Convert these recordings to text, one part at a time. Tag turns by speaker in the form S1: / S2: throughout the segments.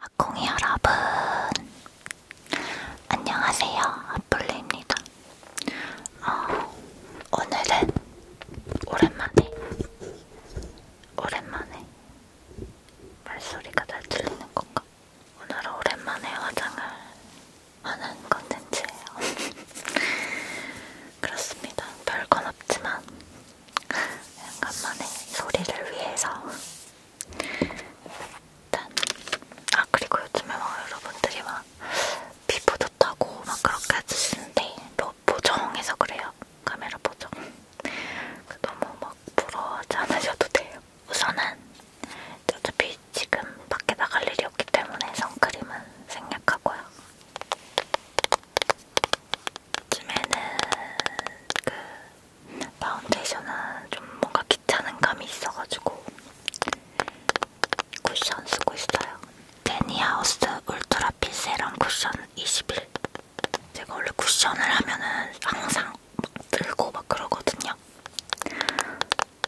S1: 아콩이 여러분 안녕하세요 아플레입니다 어, 오늘은 오랜만에 오랜만에 말소리가 잘 들리는 건가? 오늘은 오랜만에 화장을 하는 컨텐츠예요. 그렇습니다. 별 건 없지만 잠깐만에 소리를 위해서 일단 아 그리고 요즘에 막 여러분들이 막 피부 좋다고 막 그렇게 해주시는데 뭐 보정해서 그래요. 카메라 보정 그 너무 막 부러워하지 않으셔도 돼요. 우선은 어차피 지금 밖에 나갈 일이 없기 때문에 선크림은 생략하고요. 요즘에는 그 파운데이션은 좀 뭔가 귀찮은 감이 있어가지고 쿠션 쓰고 있어요. 데니하우스 울트라 핏 세럼 쿠션 21 제가 원래 쿠션을 하면은 항상 막 들고 막 그러거든요.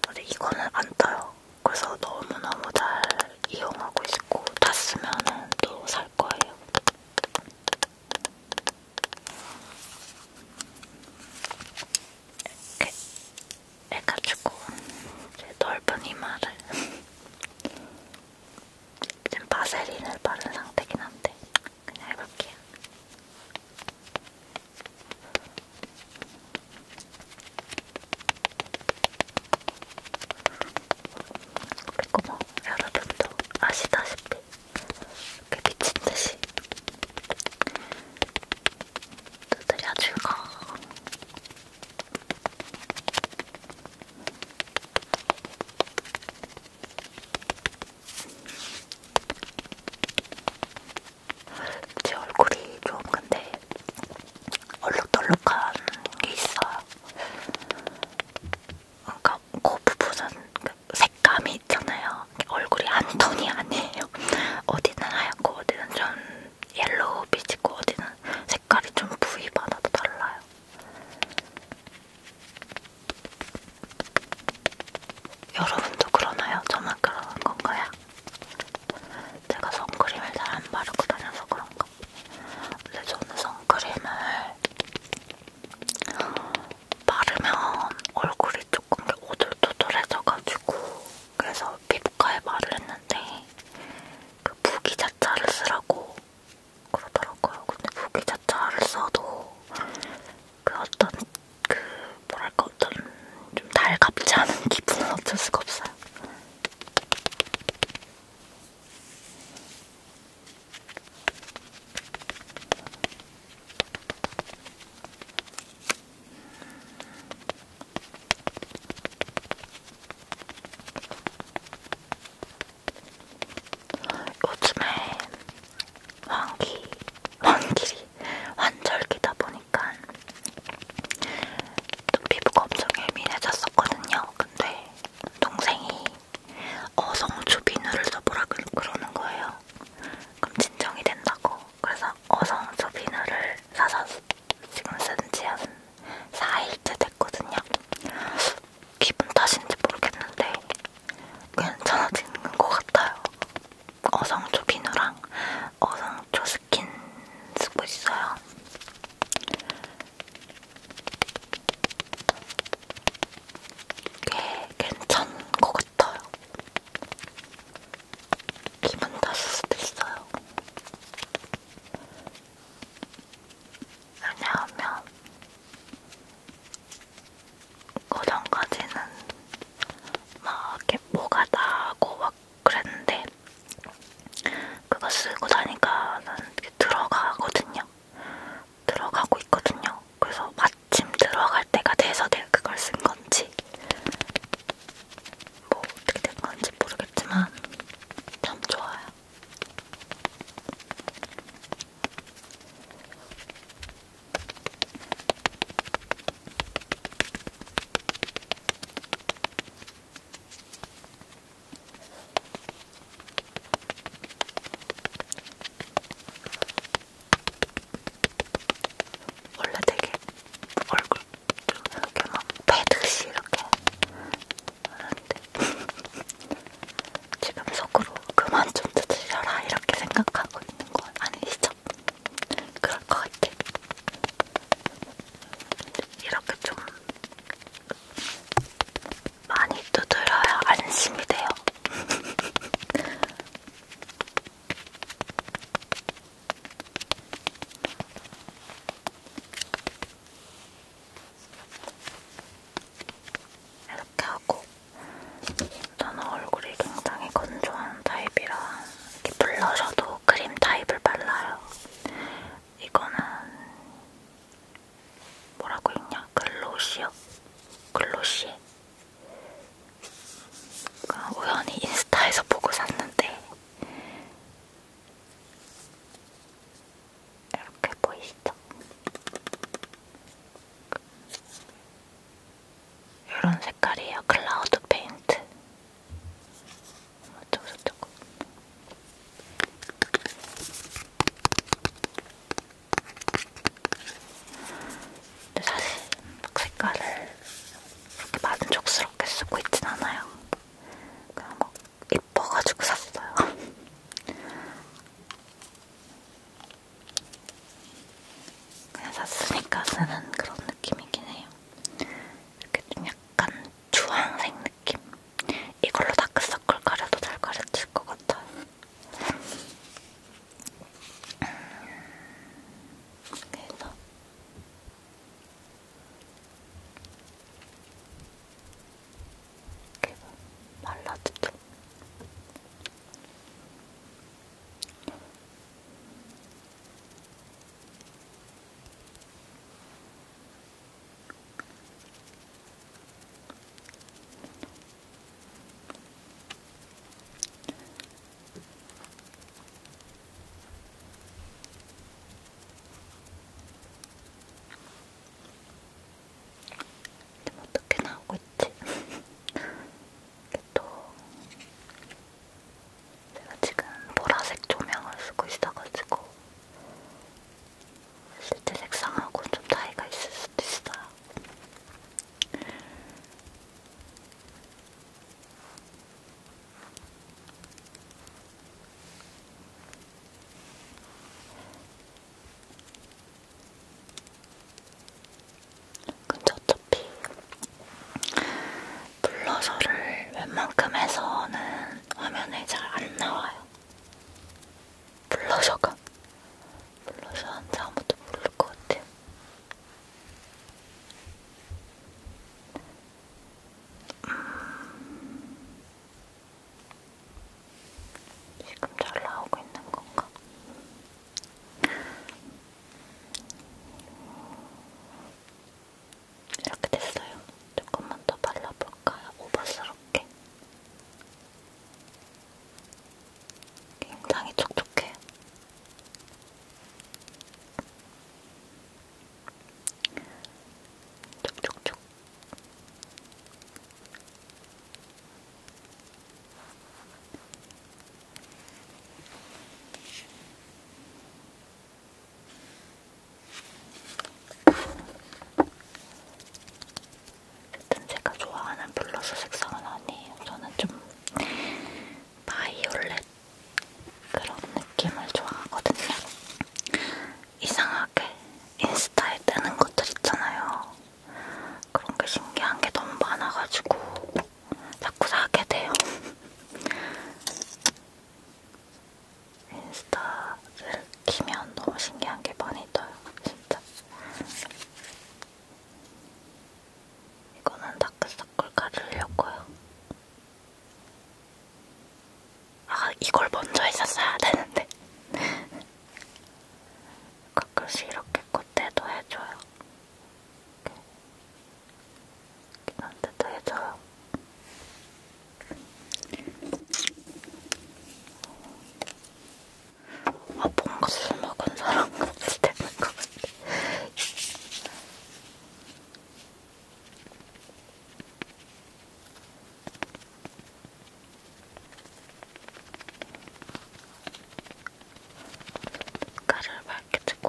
S1: 근데 이거는 안 떠요. 그래서 너무너무 잘 이용하고 있고 다 쓰면은 또 살 거예요. 이렇게 해가지고 제 넓은 이마를 지금 바세린을 바른 상태긴 한데 그냥 해볼게요. 그리고 뭐 여러분도 아시다시피 이렇게 미친듯이 두드려주고 제 얼굴이 좀 근데 얼룩덜룩한 게 있어요. 그러니까 그 부분은 그 색감이 있잖아요. 얼굴이 한 톤이 아니에요. 어디는 하얗고 어디는 좀 옐로우 빛이고 어디는 색 색깔이 좀 부위마다 달라요. 여러분도 그러나요? 저만 그러는 건가요? 제가 선크림을 잘 안 바르고 다녀서 그런가? 근데 저는 선크림을 바르면 얼굴이 조금 오돌토돌해져가지고 그래서 피부과에 말을 했는데 그 무기 자차를 쓰라고 그러더라고요. 근데 무기 자차를 써도 그 어떤 그 뭐랄까 어떤 좀 달갑지 않은 기분은 어쩔 수가 없어요. 요즘에 환기, 환기리, 환절기다 보니까 피부가 엄청 예민해졌었거든요. 근데 동생이 어성초 비누를 써보라 그, 그러는 거예요. 그럼 진정이 된다고. 그래서 어성초 비누를 사서 지금 쓴지 한 4일째 됐거든요. 기분 탓인지 모르겠는데 괜찮아지는 것 같아요. 어성초 비누랑 어성초 스킨 쓰고 있어요. 꽤 괜찮은 것 같아요. 기분 탓일 수도 있어요. 왜냐하면 그 전까지는 막 이렇게 뭐가 나고 막 그랬는데 그거 쓰고 나니까는 들어가거든요. 들어가고 있거든요. 그래서 마침 들어갈 때가 돼서 내가 그걸 쓴 건지 뭐 어떻게 된 건지 모르겠지만 참 좋아요. 원래 되게 얼굴 좀 이렇게 막 패듯이 이렇게 하는데 지금 속으로 그만 좀 두드려라 이렇게 생각하고 있는 건 아니시죠? 그럴 것 같아. 이렇게 좀 많이 두드려야 안심이 돼요. 이렇게 하고 저는 얼굴이 굉장히 건조한 타입이라 이렇게 블러셔도 크림 타입을 발라요. 이거는 뭐라고 있냐? 글로시요? 글로시? 우연히 인스타에서 보고 샀는데 이렇게 보이시죠? 이런 색깔이에요. 클라우드 페인트. 조금 조금. 근데 사실 막 색깔을 그렇게 만족스럽게 쓰고 있진 않아요. 그냥 막 뭐 이 예뻐가지고 샀어요. 그냥 샀으니까 쓰는 그런 느낌이긴 해요. 이렇게 좀 약간 주황색 느낌. 이걸로 다크서클 가려도 잘 가려질 것 같아요. 그래서 이렇게 말라주죠. 이렇게 지금 뭐 어떻게 나오고 있지? 또 제가 지금 보라색 조명을 쓰고 있어가지고 실제 색상하고 좀 차이가 있을 수도 있어요. 근데 그 어차피 블러셔를 웬만큼 해서는 화면에 잘 안 나와요. 블러셔가 블러셔한지 아무도 모를 것 같아요. 음, 지금 잘 나오고 있는 건가? 이렇게 됐어요. 조금만 더 발라볼까요? 오버스럽게. 굉장히 촉촉해요. 촉촉촉. 일단 제가 좋아하는 블러셔 색상은 아니에요. 저는 좀 바이올렛 그런 느낌을 좋아하거든요. 이상하게 인스타에 뜨는 것들 있잖아요. 그런 게 신기한 게 너무 많아가지고 자꾸 사게 돼요. 인스타를 키면 너무 신기한 게 많이 떠요. 진짜. 이거는 다크서클 가르려고요. 아 이걸 먼저 했었어야 되는데 가끔씩 이렇게 콧대도 해줘요 이렇게 해줘요 아 뭔가 술 먹은 사람 같이 되는 것 같아 가를 밝게 뜨고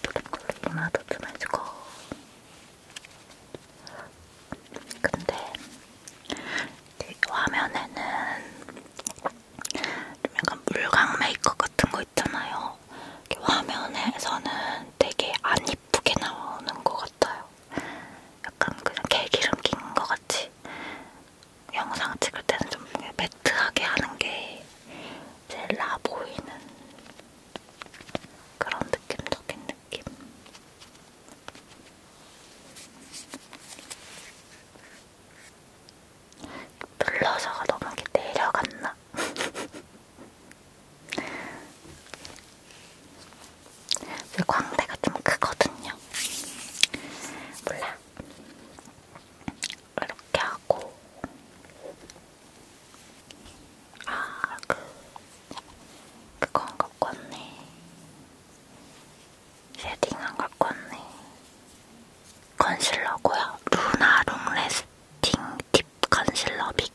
S1: 블랙 콜라도 좀 해주고 근데 화면에는 좀 약간 물광 메이크업 같은 거 있잖아요. 화면에서는 되게 안 이쁘게 나오는 것 같아요. 약간 그냥 개기름 낀 것 같이 영상 찍을 때는 좀 매트하게 하는 게 제일 나 보이는 그런 느낌적인 느낌. 눌러서가 너무 이렇게 내려갔나? 제 광대가 좀 크거든요. 몰라. 이렇게 하고 아, 그 그건 갖고 왔네. 쉐딩 안 갖고 왔네. 컨실러고요. 루나룸 레스팅 딥 컨실러 빅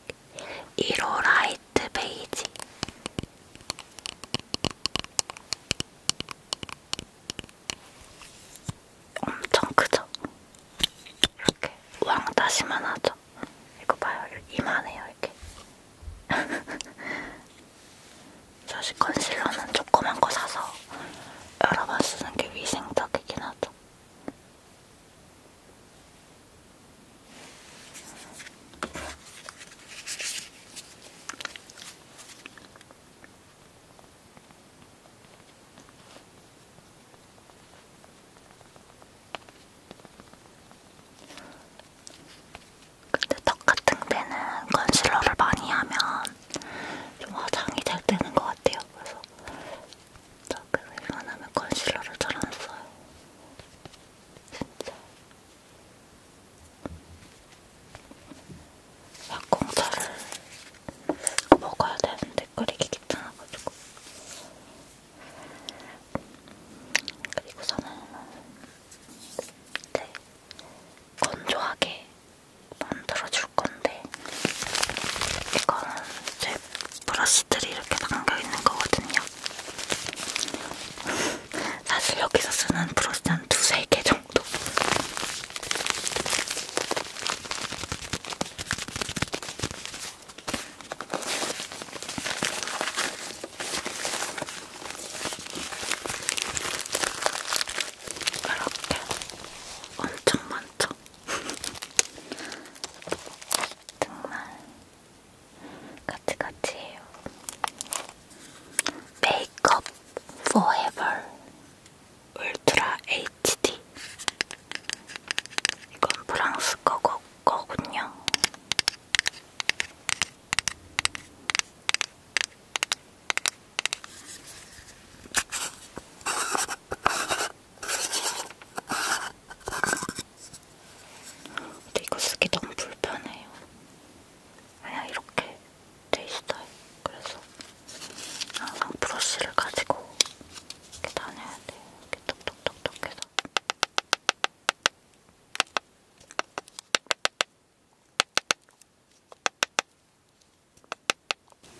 S1: 1호 라이트 베이지. 엄청 크죠? 이렇게 왕다시만 하죠? 이거 봐요. 이만해요, 이렇게. 사실 컨실러는 조그만 거 사서 여러 번 쓰는 게 위생적이긴 하죠. 근데 턱 같은 데는 컨실러를 많이 하면 좀 화장이 잘 되는 것 같아요. 그래서 그래서 웬만하면 컨실러를 잘 안 써요. 진짜. 막공차를 먹어야 되는데 끓이기 귀찮아가지고. 그리고 저는 네. 건조하게 만들어줄 건데 이거는 제 브러쉬들이 이렇게 담겨있는 거거든요. 사실 여기서 쓰는 브러쉬 한 두세 개 정도. 이렇게 엄청 많죠? 정말 같이같이 해요. 메이크업 포에버 울트라 HD 이건 프랑스 거 거, 거군요. 근데 이거 쓰기 너무 불편해요. 그냥 이렇게 돼 있어요. 그래서 항상 브러쉬를 가지고 이렇게 다녀야 돼요. 이렇게 톡톡톡톡 해서.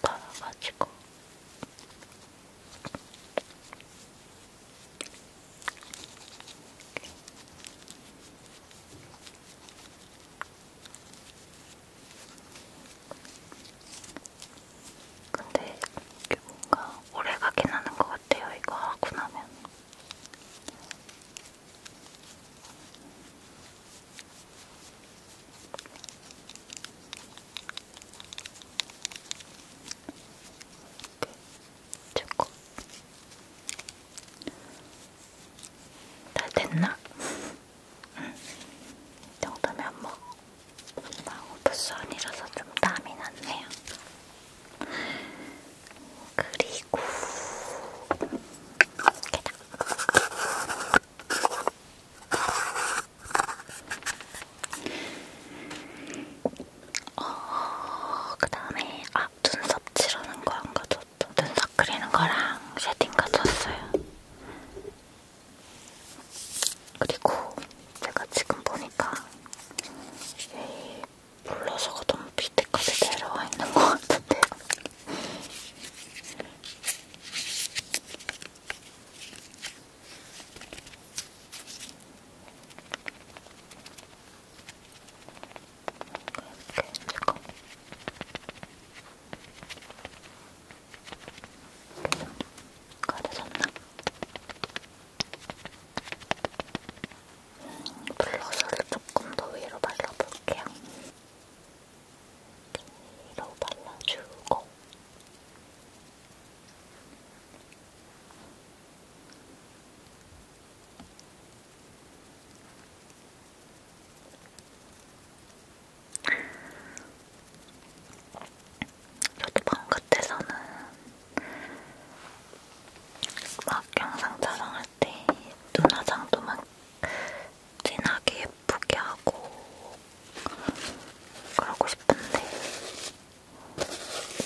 S1: 갈아가지고 근데 이게 뭔가 오래 가긴 하는 것 같아요. 이거 하고 나면 초코 다 됐나? 응. 이 정도면 뭐, 막 오프선이라서 좀 땀이 났네요. 그리고 어, 그 다음에 아 눈썹 칠하는 거 안 가졌죠. 눈썹 그리는 거랑 쉐딩 가졌어요. 그리고 제가 지금 보니까 물러서가 그 너무 밑에까지 내려와 있는 것 같은데요. 가려졌나? 블러셔를 조금 더 위로 발라볼게요. 위로 발라주고 저도 방 같아서는 막 영상 촬영할 때 눈화장도 막 진하게 예쁘게 하고 그러고 싶은데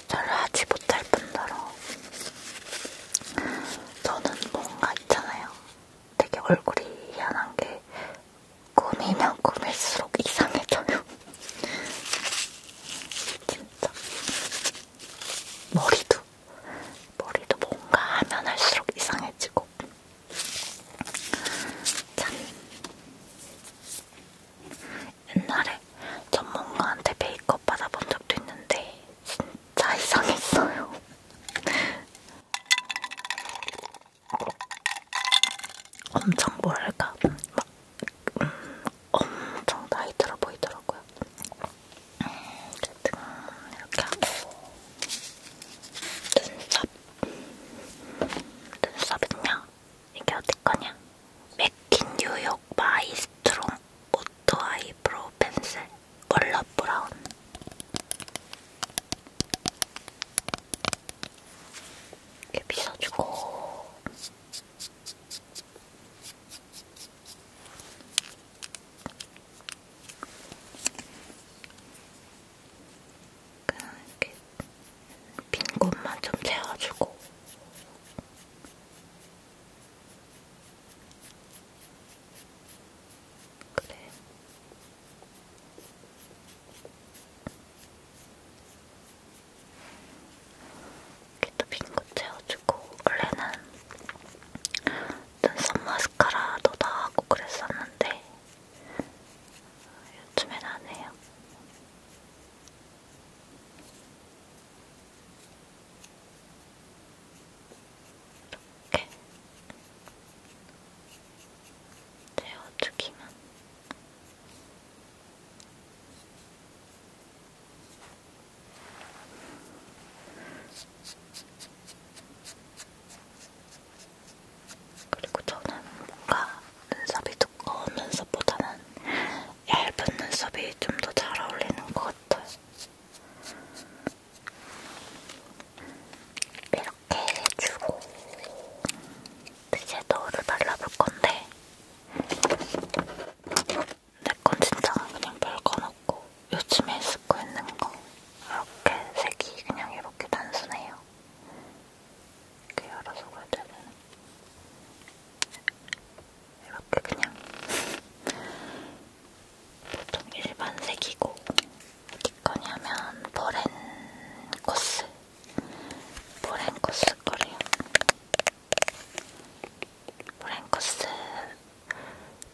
S1: 잘 하지 못할 뿐더러 저는 뭔가 있잖아요. 되게 얼굴이 희한한 게 꾸미면 꾸밀수록 이상해져요. 진짜. 머리도 머리도 뭔가 하면 할수록 이상해지고 참 옛날에 전문가한테 메이크업 받아본 적도 있는데 진짜 이상했어요. 엄청 뭐랄까 막 음, 엄청 나이 들어 보이더라고요. 어쨌든 이렇게 하고 눈썹 눈썹은요. 이게 어디 거냐? 맥킨 뉴욕 마이스트롱 오토 아이브로우 펜슬 컬러 브라운 이렇게 빗어주고 그냥 이렇게 빈 곳만 좀 채워주고 그래. 이렇게 또빈거 채워주고 원래는 눈썹 마스카라도 다 하고 그랬었는데 요즘엔 안 해요. 이렇게 채워주기만 그리고 저는 뭔가 눈썹이 두꺼운 눈썹보다는 얇은 눈썹이 좀 더 잘 어울리는 것 같아요. 이렇게 해주고 이제 너를 발라볼 건데 내건 진짜 그냥 별 꺼놓고 요즘에 쓰고 있는 거 이렇게 색이 그냥 이렇게 단순해요. 이렇게 열어서 그려야 되는 이렇게 그냥 보통 일반 색이고 어디거니 하면 보렌코스 보렌코스 거래요. 보렌코스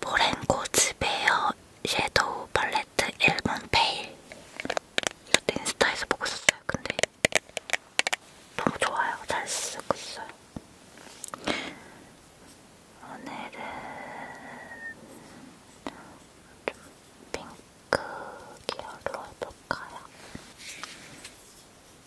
S1: 모렌코즈 베어 섀도우 팔레트 1번 페일 이것도 인스타에서 보고 샀어요 근데 너무 좋아요 잘 쓰고 있어요 오늘은 좀 핑크 계열로 해볼까요?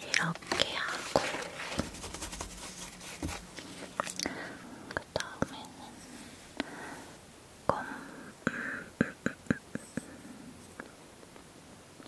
S1: 이렇게 하고 그 다음에는 검. 음, 음, 음,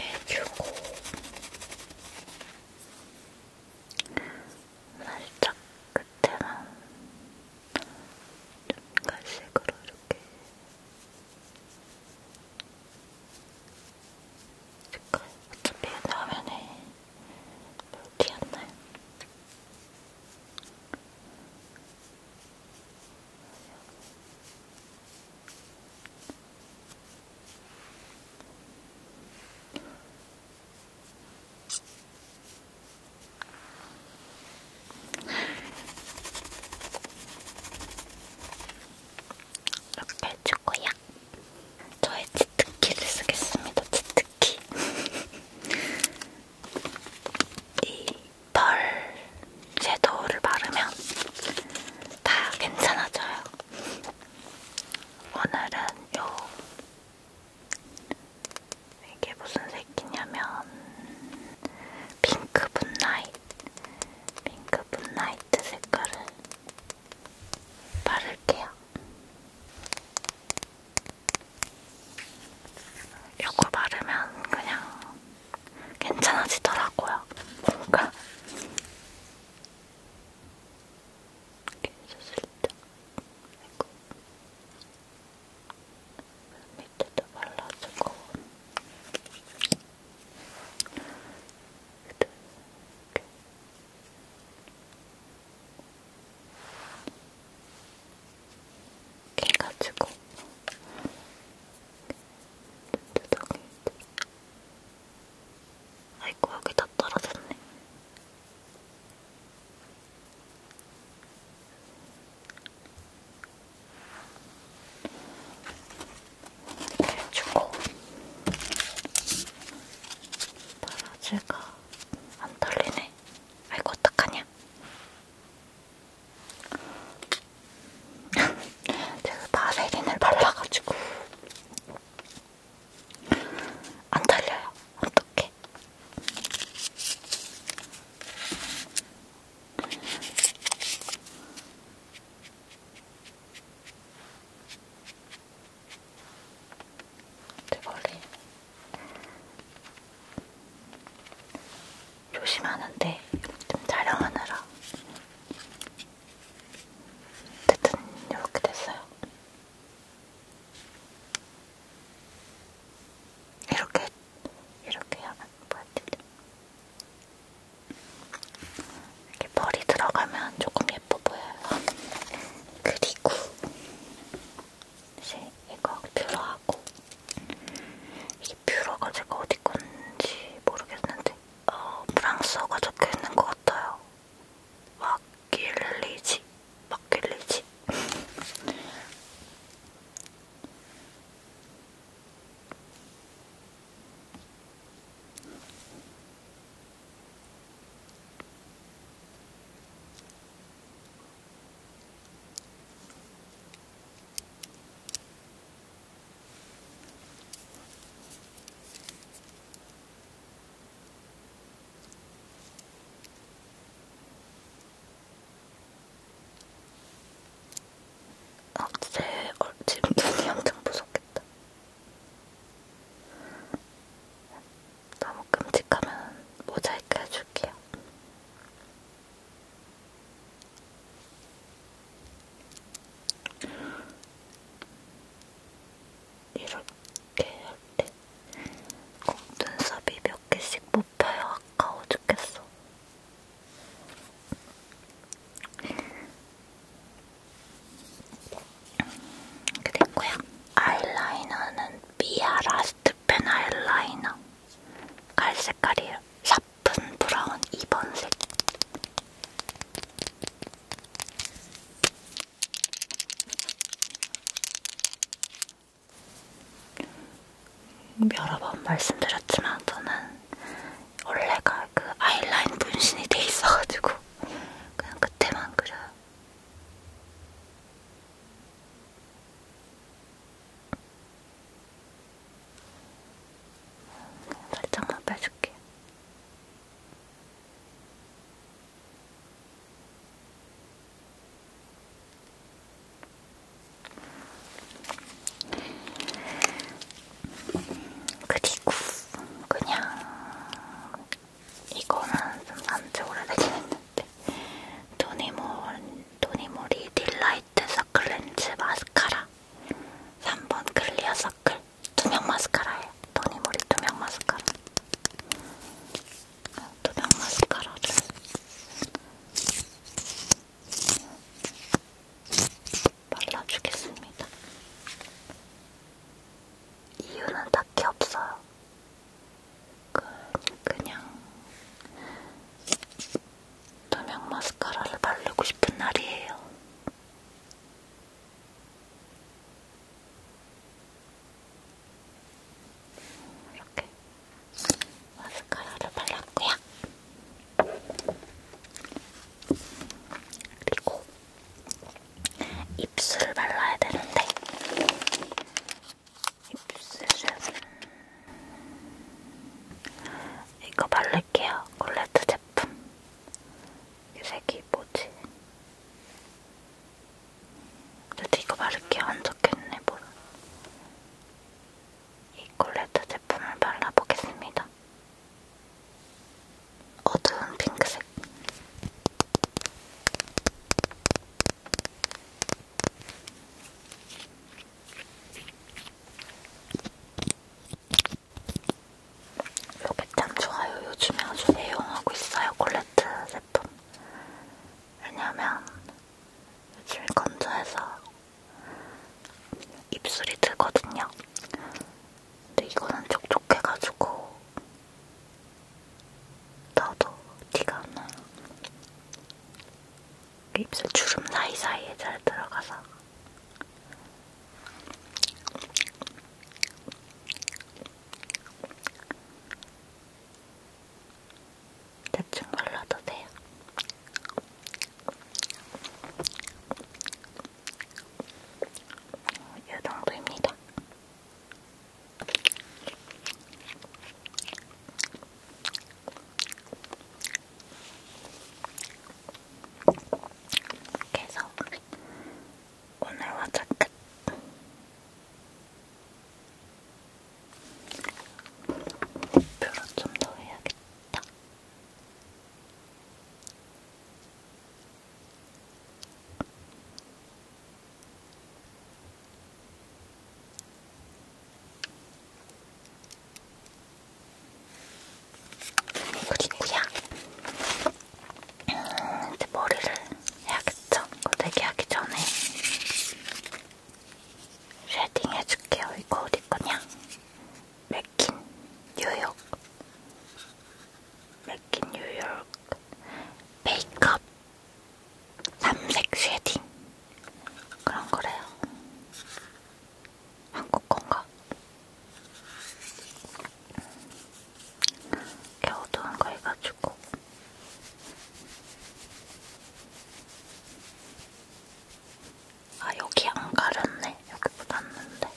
S1: 해주고 살짝 끝에만 좀 갈색으로 이렇게 색깔 어차피 화면에 물티 안 나요. 이렇게 해주고요. 저의 치트키를 쓰겠습니다. 치트키. 이펄 섀도우를 바르면 다 괜찮아져요. 오늘은 요 이게 무슨 색이냐면 핑크 분라이트 핑크 분라이트 색깔을 바를게요. 요거 바르면 그냥 괜찮아지더라고요. 뭔가 이렇게 해서 아이고. 밑에도 발라주고 이렇게. 이렇게 해가지고 아이고 여기 다 떨어졌네. 이렇게 주고 바라지가 안 털리네. 아이고 어떡하냐? 제가 바세린을 발라가지고 안 털려요. 어떡해. 제 머리 조심하는데 좀 촬영하느라 어쨌든 이렇게 됐어요. 이렇게 이렇게 하면 뭐였지? 이렇게 벌이 들어가면 조금 예뻐 보여요. 그리고 이제 이거 뷰러하고 이게 뷰러가 제가 어디 건지 모르겠는데 어, 프랑스어가 적혀 있는 것 같아요. 마길리지, 마길리지. 아, 제 얼, 지금 눈이 엄청 무섭겠다. 너무 끔찍하면 모자이크 해줄게요. 이렇게 할때 콩눈썹이 몇 개씩 뽑혀요. 아까워 죽겠어. 이렇게 됐고요. 아이라이너는 미아 라스트펜 아이라이너. 갈 색깔이에요. 샵 옅은 브라운 2번색 여러 번 말씀드렸지만 저는 원래가 그 아이라인 분신이 돼 있어가지고 그냥 그때만 그려요. 살짝만 빼줄게요. 그리고 그냥 이거는 안지 오래되긴 했는데 도니몰 도니모리 딜라이트 서클렌즈 마스카라 마스카라 3번 클리어 서클 투명 마스카라예요. 토니모리 투명 마스카라 어, 투명 마스카라를 발라주겠습니다. 이유는 딱히 없어요. 그, 그냥 담양 마스카라를 바르고 싶은 날이에요. 이렇게 마스카라를 발랐고요. 그리고 입술을 발라야 되는데 입술은 이거 바르기 갈게요. 콜레트 제품. 이 색이 뭐지? 그래도 이거 바를게요. 안 적혀있네, 뭐라. 이 콜레트 제품을 발라보겠습니다. 어두운 핑크색. 이거 참 좋아요. 요즘에 아주 애용하고 있어요. 콜레트 제품. 왜냐면 요즘 건조해서 입술이 트거든요. 근데 이거는 촉촉해가지고 나도 티가 안 나요. 그 입술 주름 사이사이에 잘 들어가서 대충 발라도 돼요. 이 정도입니다. 이렇게 해서 오늘 화자 끝! 표로 좀더 해야겠다. 그리고야 음, 이제 머리를 해야겠죠? 고데기 하기 전에 쉐딩 해줄게요. 이거 어디 거냐? 맥킨 뉴욕 맥킨 뉴욕 메이크업 삼색 쉐딩 그런 거래요. 한국 건가? 겨우도 한거 해가지고 아 여기 안 가렸네 여기 묻었는데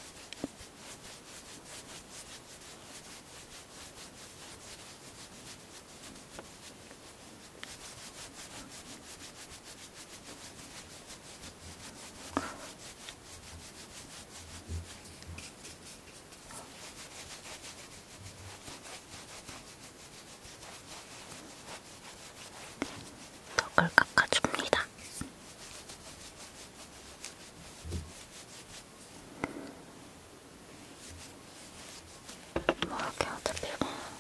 S1: 턱을 깎아줍니다. 뭐 이렇게 어차피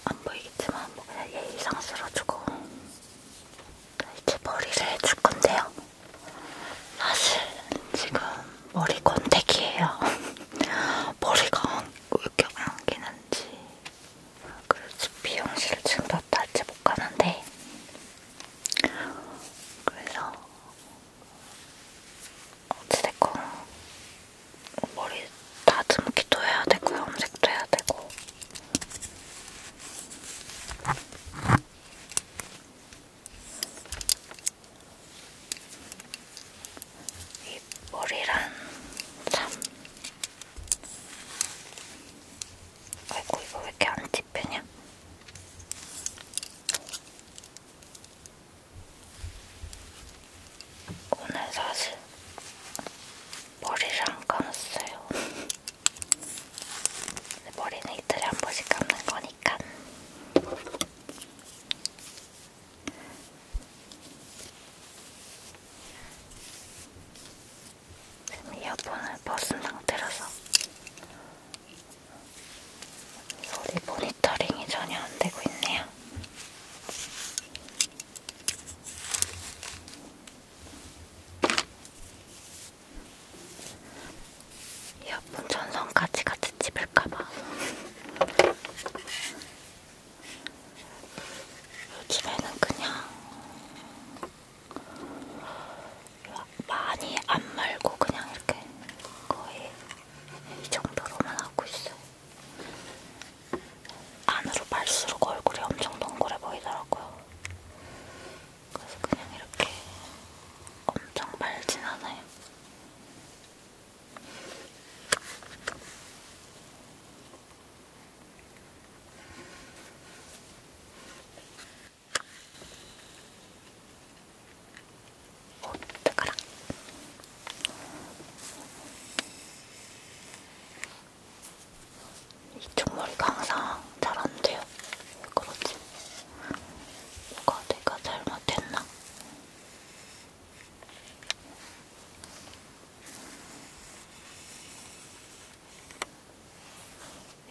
S1: 안 보이겠지만 뭐 그냥 예의상스러워주고 이제 머리를 해줄 건데요. 사실 지금 머리 권태기예요. 머리가 왜 이렇게 안기는지 그래서 미용실 지금 몇 달째 못 가는데 그래서 어찌됐건 머리 다듬기도 해야 되고 염색도 해야 되고 이 머리란 참 아이고 이거 왜 이렇게 안 찝히냐 오늘 사실 머리를 안 감았어요 머리는 이틀에 한 번씩 감는 거니까. 지금 이어폰을 벗은 상태라서 소리 모니터링이 전혀 안 되고 있네요. 이어폰 전선까지 같이 집을까봐 요즘에는 그냥 많이 안 말고 그냥 이렇게 거의 이 정도로만 하고 있어요. 안으로 말수록 얼굴이 엄청 동그래 보이더라고요. 그래서 그냥 이렇게 엄청 말진 않아요. 어, 오, 뜨거라. 이쪽 머리가 항상 잘 안 돼요. 왜 그러지? 뭐가 내가 잘못했나?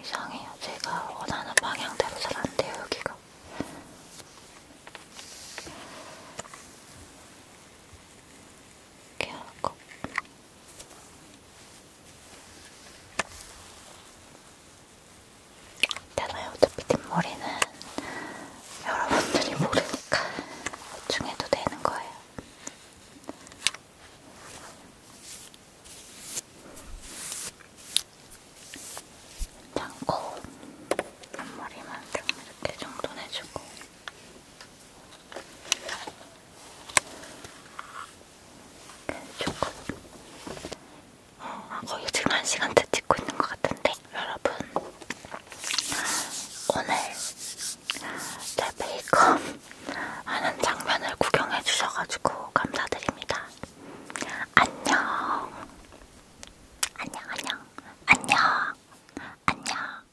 S1: 이상해요. 제가 원하는 방향대로 잘 안 돼요, 여기가. 이렇게 하고. 괜찮아요. 어차피 뒷머리는 여러분들이 모르니까 보충해도 되는 거예요. 괜찮고 앞머리만 딱 이렇게 정돈해주고 조금 어, 거의 지금 한 시간째 찍고 있는 것 같은데 여러분 오늘 제 메이크업 하는 장면을 구경해 주셔가지고 감사드립니다. 안녕 안녕 안녕 안녕 안녕